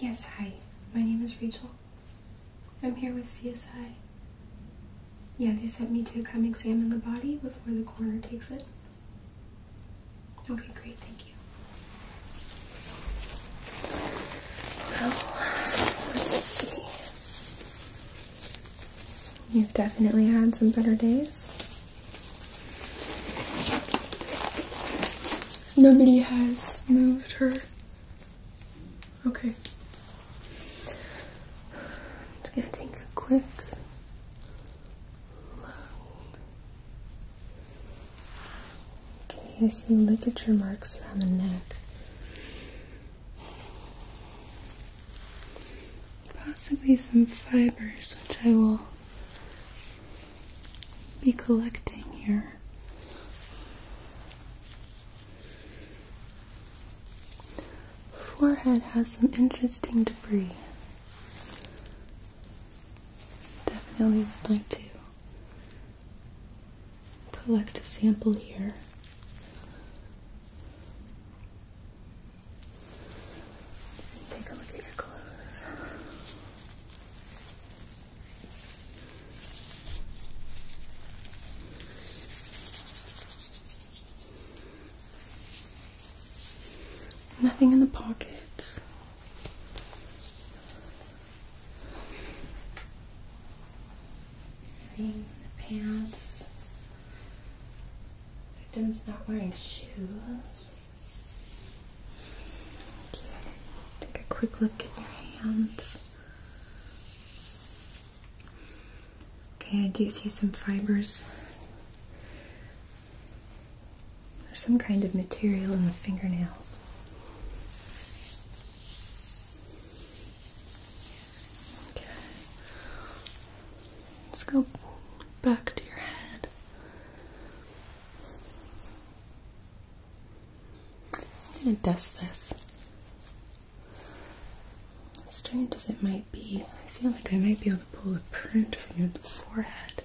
Yes, hi. My name is Rachel. I'm here with CSI. Yeah, they sent me to come examine the body before the coroner takes it. Okay, great, thank you. Well, let's see. You've definitely had some better days. Nobody has moved her. Okay. I'm gonna take a quick look. Okay, I see ligature marks around the neck. Possibly some fibers, which I will be collecting here. Forehead has some interesting debris. Definitely would like to collect a sample here. Take a look at your clothes. Nothing in the pockets. Nothing in the pants. Victim's not wearing shoes. Take a quick look at your hands. Okay, I do see some fibers. There's some kind of material in the fingernails. Okay. Let's go back to your head. I'm going to dust this. strange as it might be, I feel like I might be able to pull a print from your forehead.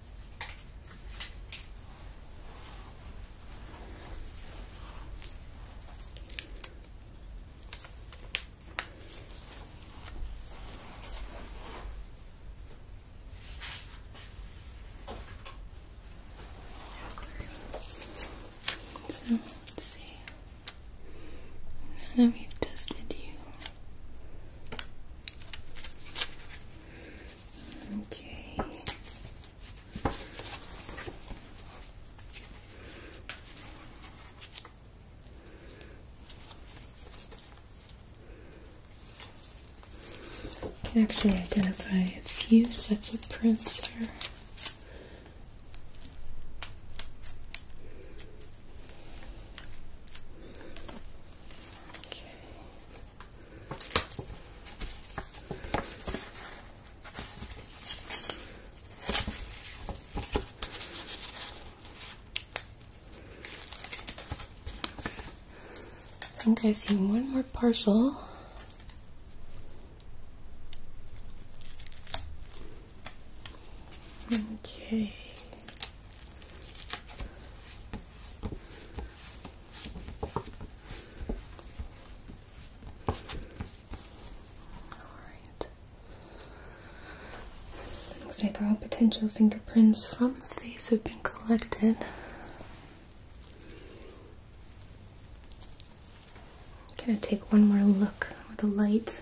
So let's see. Now that we've tested you, Okay. You can actually identify a few sets of prints here. Okay. I think I see one more partial. Okay. Looks like all potential fingerprints from the face have been collected. gonna take one more look with the light.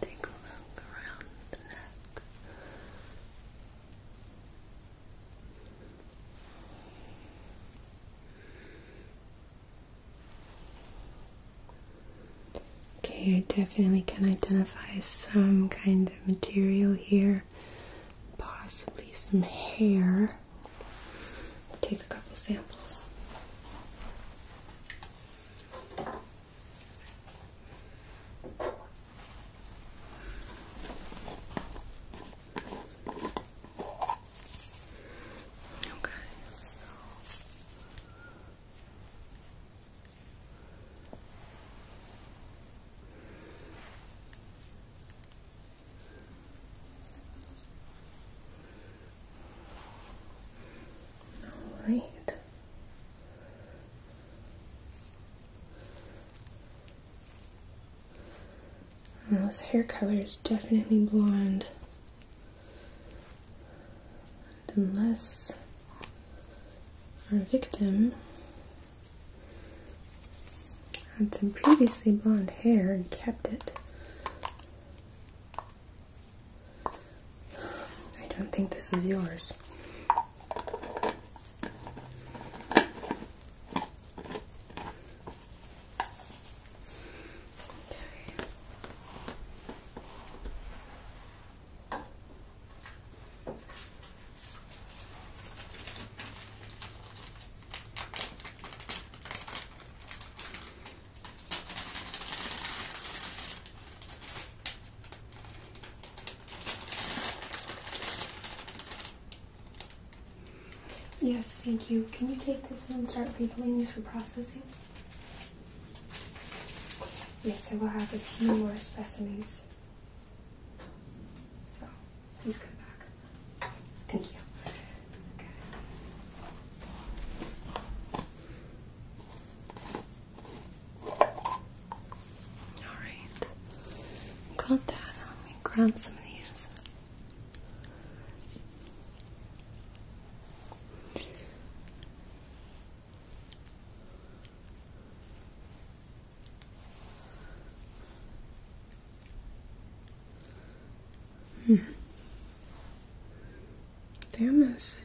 Take a look around the neck. Okay, I definitely can identify some kind of material here. Possibly some hair. Take a couple samples. Okay, all right. this hair color is definitely blonde. unless our victim had some previously blonde hair and kept it. I don't think this was yours. Yes, thank you. Can you take this and start labeling these for processing? Yes, I will have a few more specimens. So please come back. Thank you. Okay. Alright. Got that. Let me grab some of these. Hmm. They almost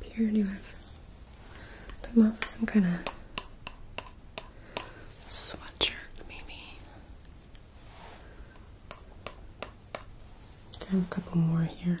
appear to have come up with some kind of sweatshirt, maybe. Got a couple more here.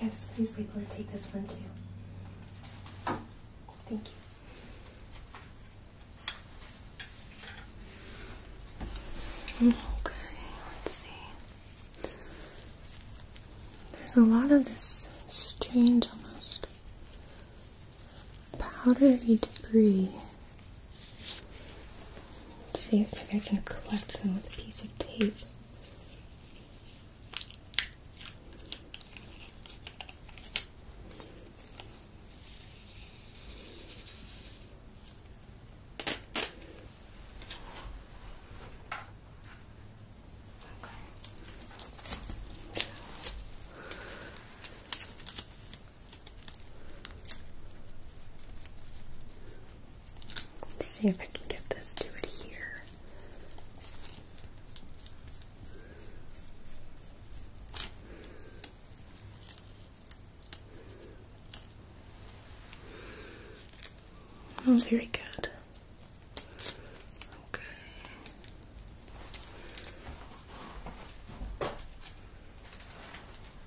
Yes, please, Leland, take this one too. Thank you. Okay, let's see. There's a lot of this strange, almost powdery debris Let's see if I can collect some with a piece of tape. Let's see if I can get this to adhere. Oh, very good. Okay.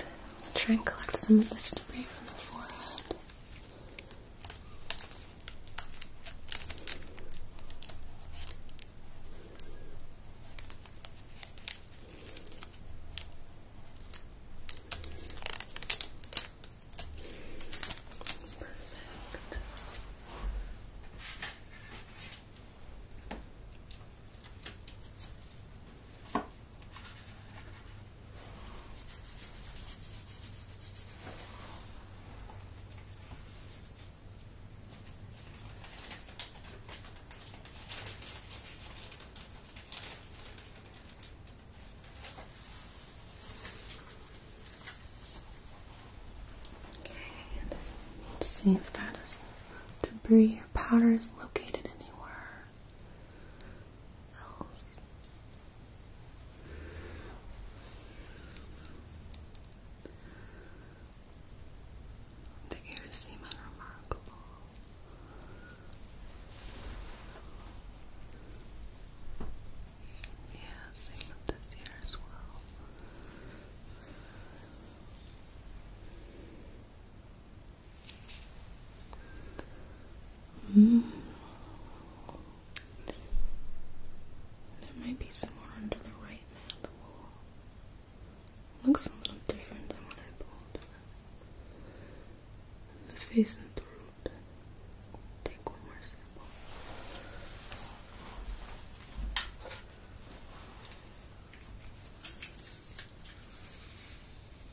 I'll try and collect some of this debris from the forehead. Perfect. Okay, let's see if that is debris or powder is located anywhere. The ears seem unremarkable. Yeah, same with this ear as well. Hmm. There might be someone under the right man Looks a little different than when I pulled The face and throat. Take one more sample.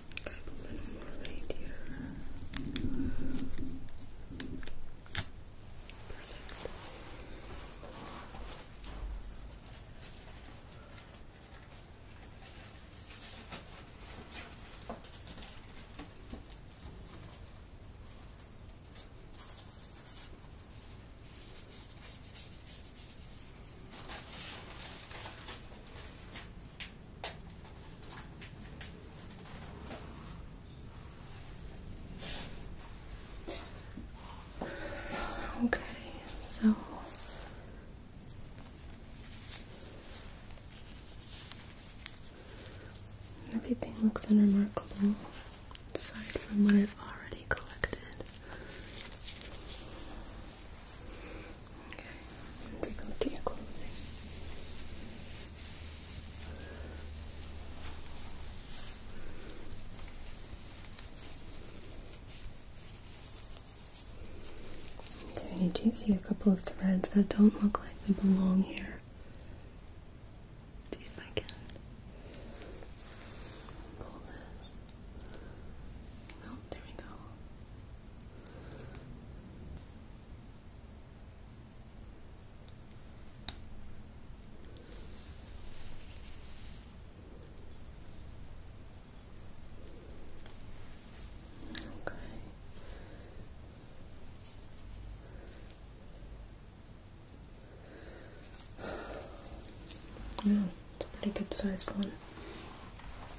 Grab a little more light here. Perfect. Okay, so everything looks unremarkable aside from what I've already collected. Okay, take a look at your clothing. Okay, I do see a couple of threads that don't look like they belong here. See if I can pull this. Oh, there we go. Okay. Yeah, it's a pretty good sized one.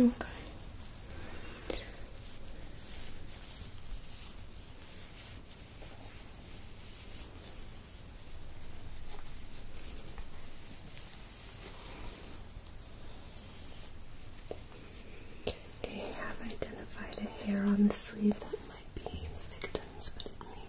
Okay. They have identified a hair on the sleeve that might be the victim's, but it may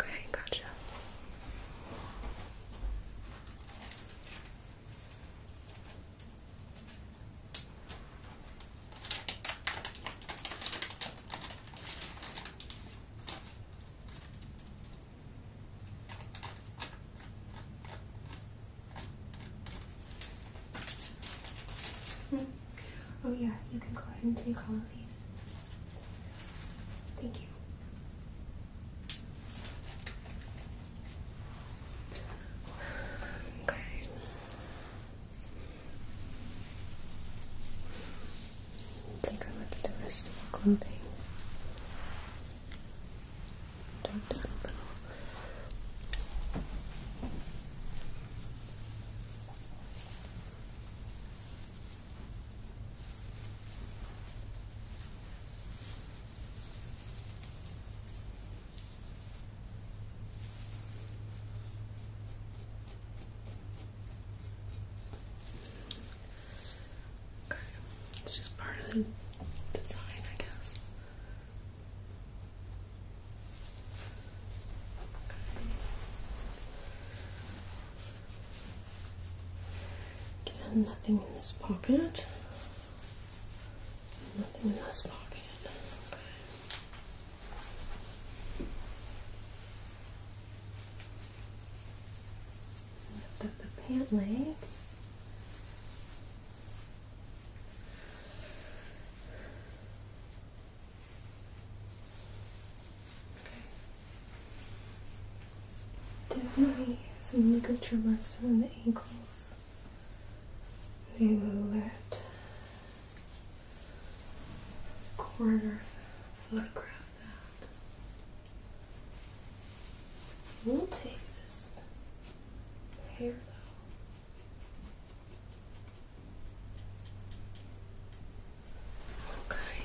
Okay, gotcha. Hmm. Oh yeah, you can go ahead and take all of these. Thank you. Okay. Take a look at the rest of your clothing. Dark down a little it's just part of the design, I guess. Again, nothing in this pocket. Nothing in this pocket. Lift up the pant leg. Okay. Definitely some ligature marks around the ankles. They will corner photograph that. We'll take this hair though. Okay.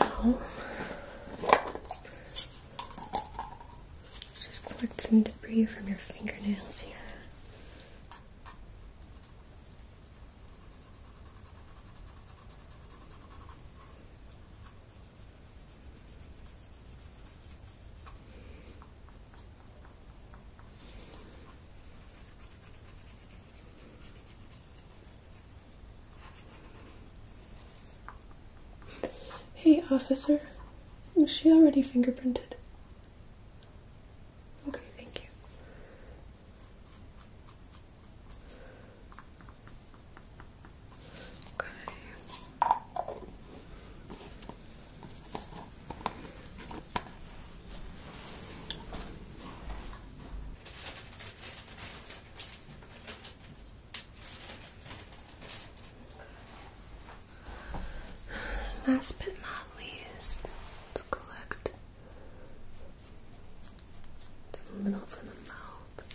Now, just collect some debris from your fingernails here. Hey, officer, is she already fingerprinted? Okay, thank you. Okay. Last but not least, to collect the middle from the mouth.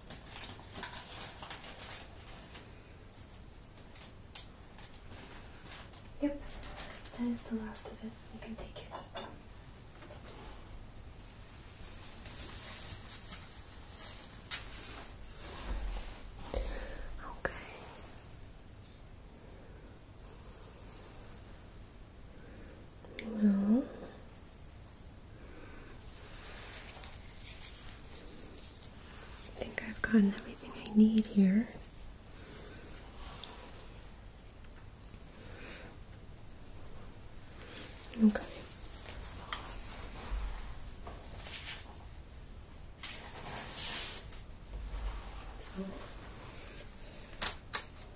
Yep, that is the last of it. You can take it. Okay. Well, I think I've gotten everything I need here. Okay.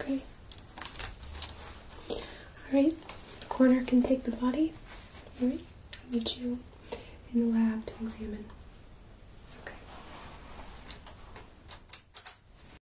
Okay. All right. The coroner can take the body. All right. I need you in the lab to examine. Okay.